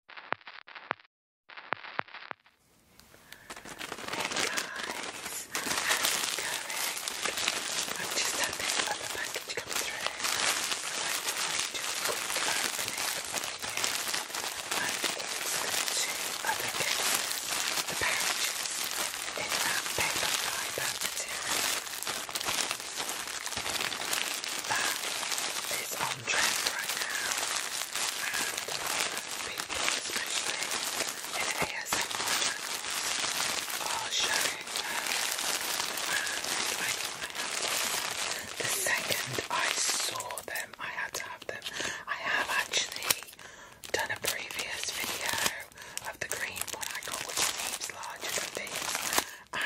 Hey guys, how's it going? I've just had this other package come through, I thought I'd do a quick opening for you. And it's the two the pouches, in that paper fibre material. That is on trend right now, and especially in ASMR channels, are showing them. And the second I saw them, I had to have them. I have actually done a previous video of the green one I got, which seems larger than these and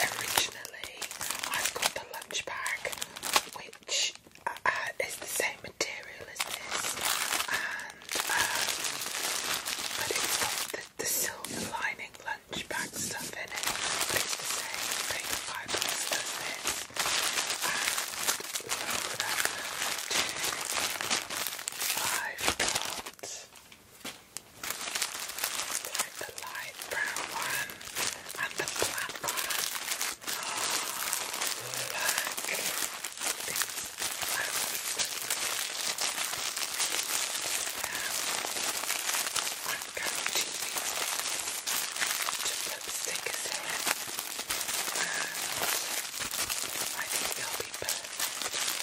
originally I've got the lunch bag which uh, uh, is the same material as this and um, but it's got the, silver lining lunch bag stuff in it it's the same big fibre as this and look at like the light brown one and the black one. Oh, look. Now, I'm going to put stickers in. I think they'll be perfect.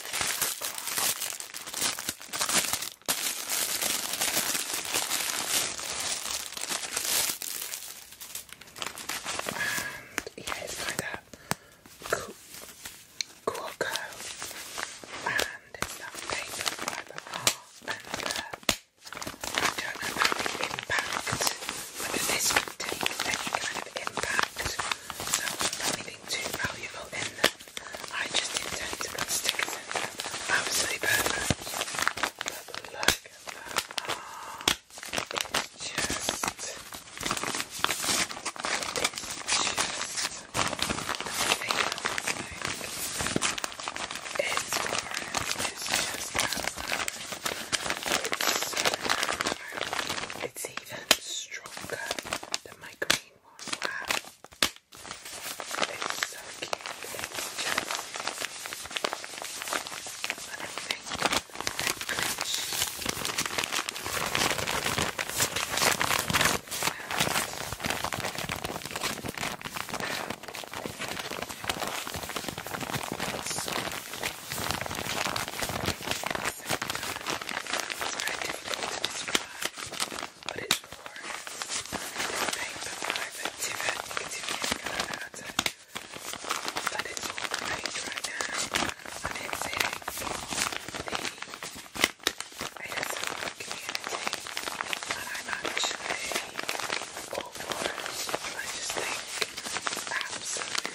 And yeah, by that Corco. And it's paper by the heart and the, uh, I impact whether this would take any kind of impact. So anything too valuable in them. I just intend to stick stickers in them. Absolutely perfect. But look at that. just it's it's glorious. just absolutely it's even stronger than my green one. so cute. It's just but I think It's so but it's for paper private to But it's all the rage right now. And it's in the ASL community. And I'm actually all for it. I just think absolutely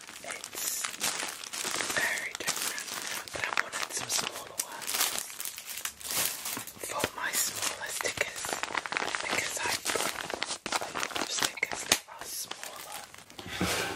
It's very different, but I wanted some smaller ones for my smaller stickers because I put stickers that are smaller.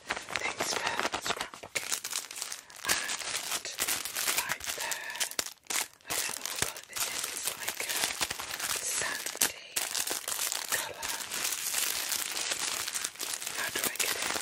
things for scrapbooking. And right I don't know what this is, like a sandy colour. How do I get it?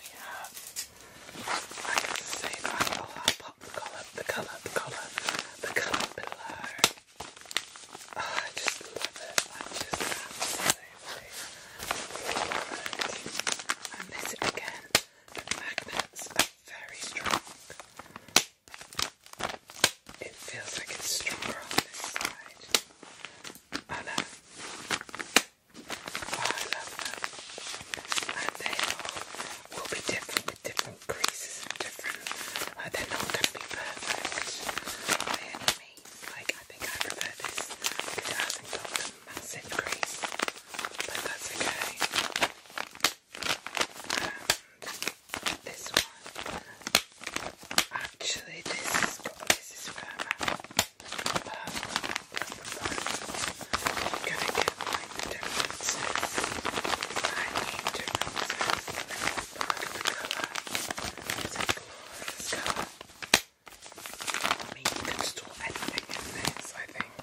we have, I the same i pop the colour, the colour, the colour, the colour below. I just love it. I just love it. And this again, the magnets are very strong. It feels like it's stronger on this side. Oh I love them. And they all will be different different creases different. they're not going to be perfect by any means. Like, I think I prefer this because not got a massive crease, but that's okay. And this one. Actually, this is, this is firmer gonna get like the different I need different the color. It's a glorious color. I mean, you can store anything in this, I think. I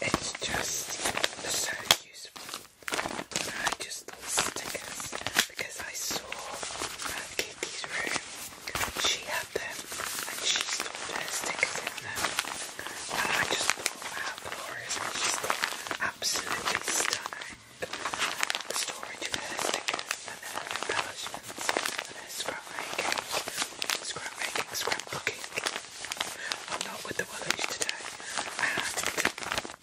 mean, it's just so useful. I just thought stickers because I saw uh, Katie's room. She had them and she stored her stickers in them. And I just thought, wow, glorious. I just absolutely stunning. The storage stickers and her embellishments and her scrapmaking, scrapmaking, scrapbooking. I'm not with the Willows today.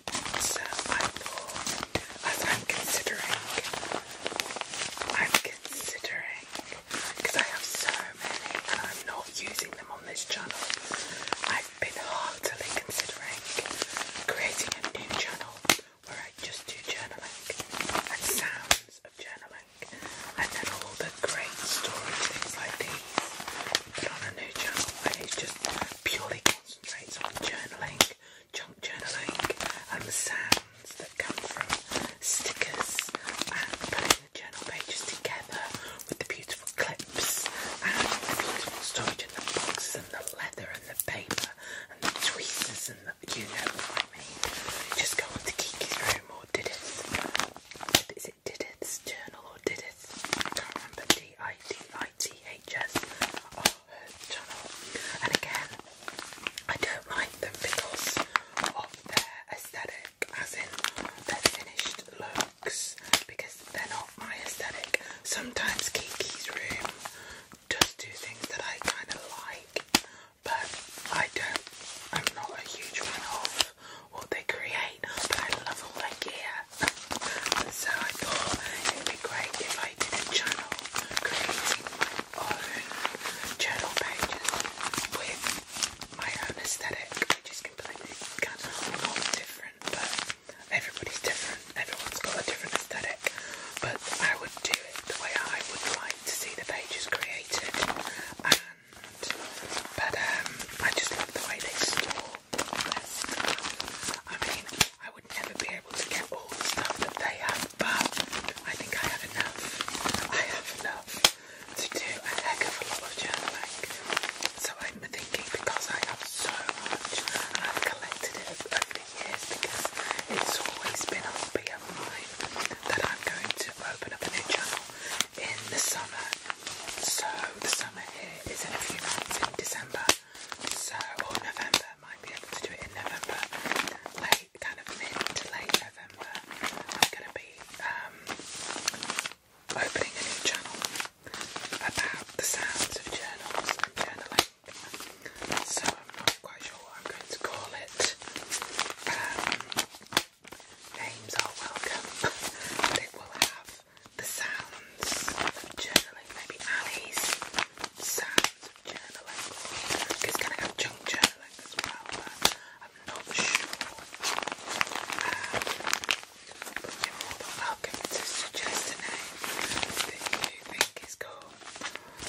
So I am considering, I'm considering, because I have so many and I'm not using them on this channel, I've been heartily considering creating a new channel where I just do journaling and sounds of journaling and then all the great stories, like these, on a new channel and it's just purely concentrates on journaling, junk journaling, and the sounds that come from stickers and putting the journal pages together with the beautiful clips and the beautiful storage in the boxes and the leather and the paper and the tweezers and the you know what I mean. Just go on to Kiki's room or did it? Is is it journal or Didith? I can't remember. D I D I T H S. Oh, journal. And again, I don't like them because of their aesthetic, as in their finished looks, because they're not my aesthetic. Sometimes Kiki's room does do things that I kind of like, but I don't. I'm not a huge fan of what they create, but I love all I gear. so I thought it'd be great if I did a channel creating my own journal pages with my own aesthetic, which is completely kind of not different, but everybody's different, everyone's got a different aesthetic. But I would do it the way I would like to see the pages created, and but um, I just the way they store all I mean, I would never be able to get all the stuff that they have, but I think I have enough. I have enough to do a heck of a lot of journaling. So I'm thinking because I have so much I've collected it over the years because it's always been a hobby of mine that I'm going to open up a new channel in the summer. So the summer here is in a few months in December. So or November, might be able to do it in November. Late kind of mid to late November. I'm gonna be um, opening a new channel about the sounds of journals and journaling. So I'm not quite sure what I'm going to call it. Um, names are welcome, but will have the sounds of maybe Ali's sounds of journaling. It's going to have junk journaling as well, I'm not sure. Um, you're more than welcome to suggest a name that you think is cool.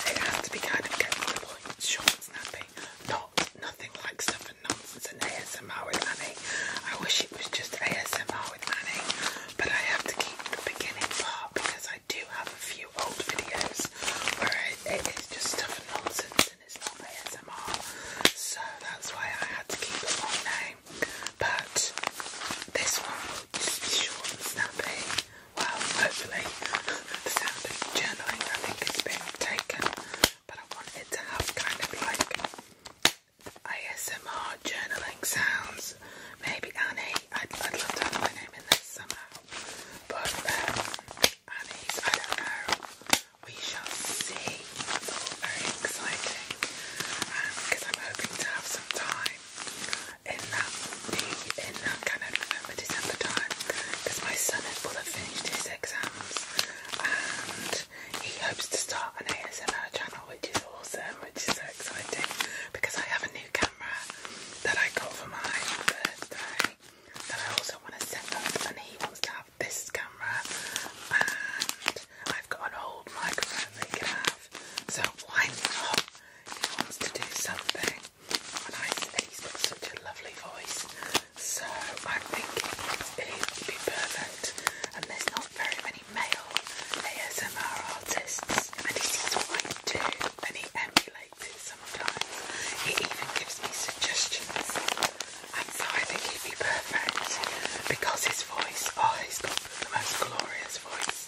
It has to be kind of getting to the point, short and snappy, not nothing like stuff nonsense and ASMR with Annie. I wish it was just ASMR with Annie, but I have to keep the beginning part because I do have a few old videos where it is just stuff and nonsense and it's not ASMR. So that's why I had to keep it long name. But this one will just be short and snappy. Well, hopefully the sound of journaling I think has been taken but I wanted to have kind of like ASMR journaling sounds. Maybe Annie. I'd, I'd love to have my name in this somehow, but um, Annie's. I don't know. We shall see. Oh, very exciting because um, I'm hoping to have some time in that in that kind of November time because my son will have finished his exams he hopes to start an ASMR channel, which is awesome, which is so exciting because I have a new camera that I got for my birthday that I also want to set up, and he wants to have this camera, and I've got an old microphone they he can have, so why not? He wants to do something, and I said he's got such a lovely voice. So I think it would be perfect. And there's not very many male ASMR artists, and he sees what I do, and he emulates it sometimes. He even gives me suggestions, and so I think it would be perfect because his voice, oh, he's got the most glorious voice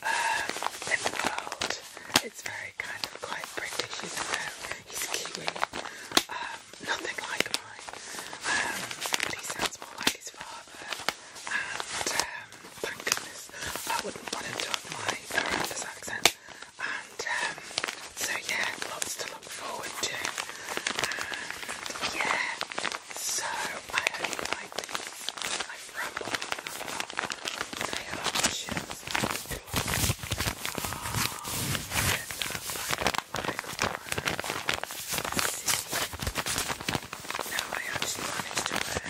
um, in the world. It's very kind of quite British, you He's Kiwi. Um, nothing like mine. but um, he sounds more like his father, and um, thank goodness I wouldn't want him to have my horrendous accent. And um, so yeah, lots to look forward to. And yeah, so I hope you like these. i now I actually managed to wear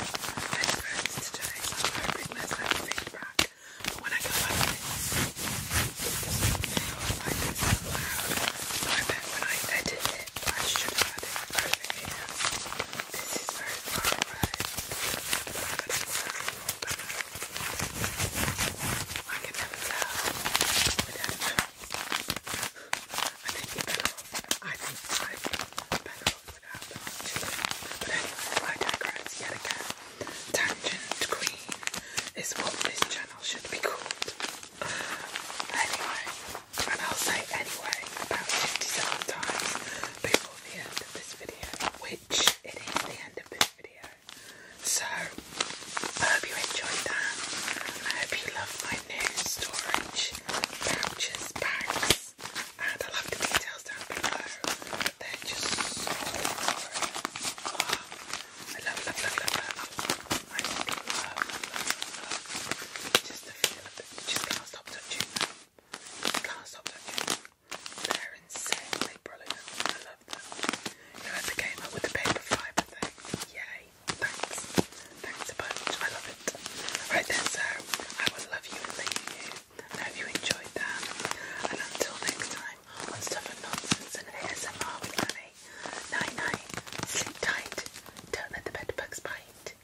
headphones today, so I'm hoping there's no feedback. But when I go back to it doesn't feel like it's that loud. So I bet when I edit it, I should have had it over here. This is very far away, but I got it so much better. I can never tell. I don't know. I think you better off. I think i better off without But anyway, I digress yet again. Tangent Queen is what this channel should be called. Anyway, and I'll say anyway about 57 times before the end of this video, which it is the end of this so, I hope you enjoyed that. I hope you love my new storage pouches, bags, and I love the details down below. They're just so oh, I love, love, love, love, love. love, love, love, love, love. Just the feel Just can't stop touching them. Can't stop touching they're insanely brilliant. I love them. Whoever came up with the paper fibre thing, yay! Thanks, thanks a bunch. I love it. Right then, so I will love you and leave you. I hope you enjoyed that. And until next time on Stuff and Nonsense and ASMR with Annie. Night night. Sleep tight. Don't let the bed bugs bite.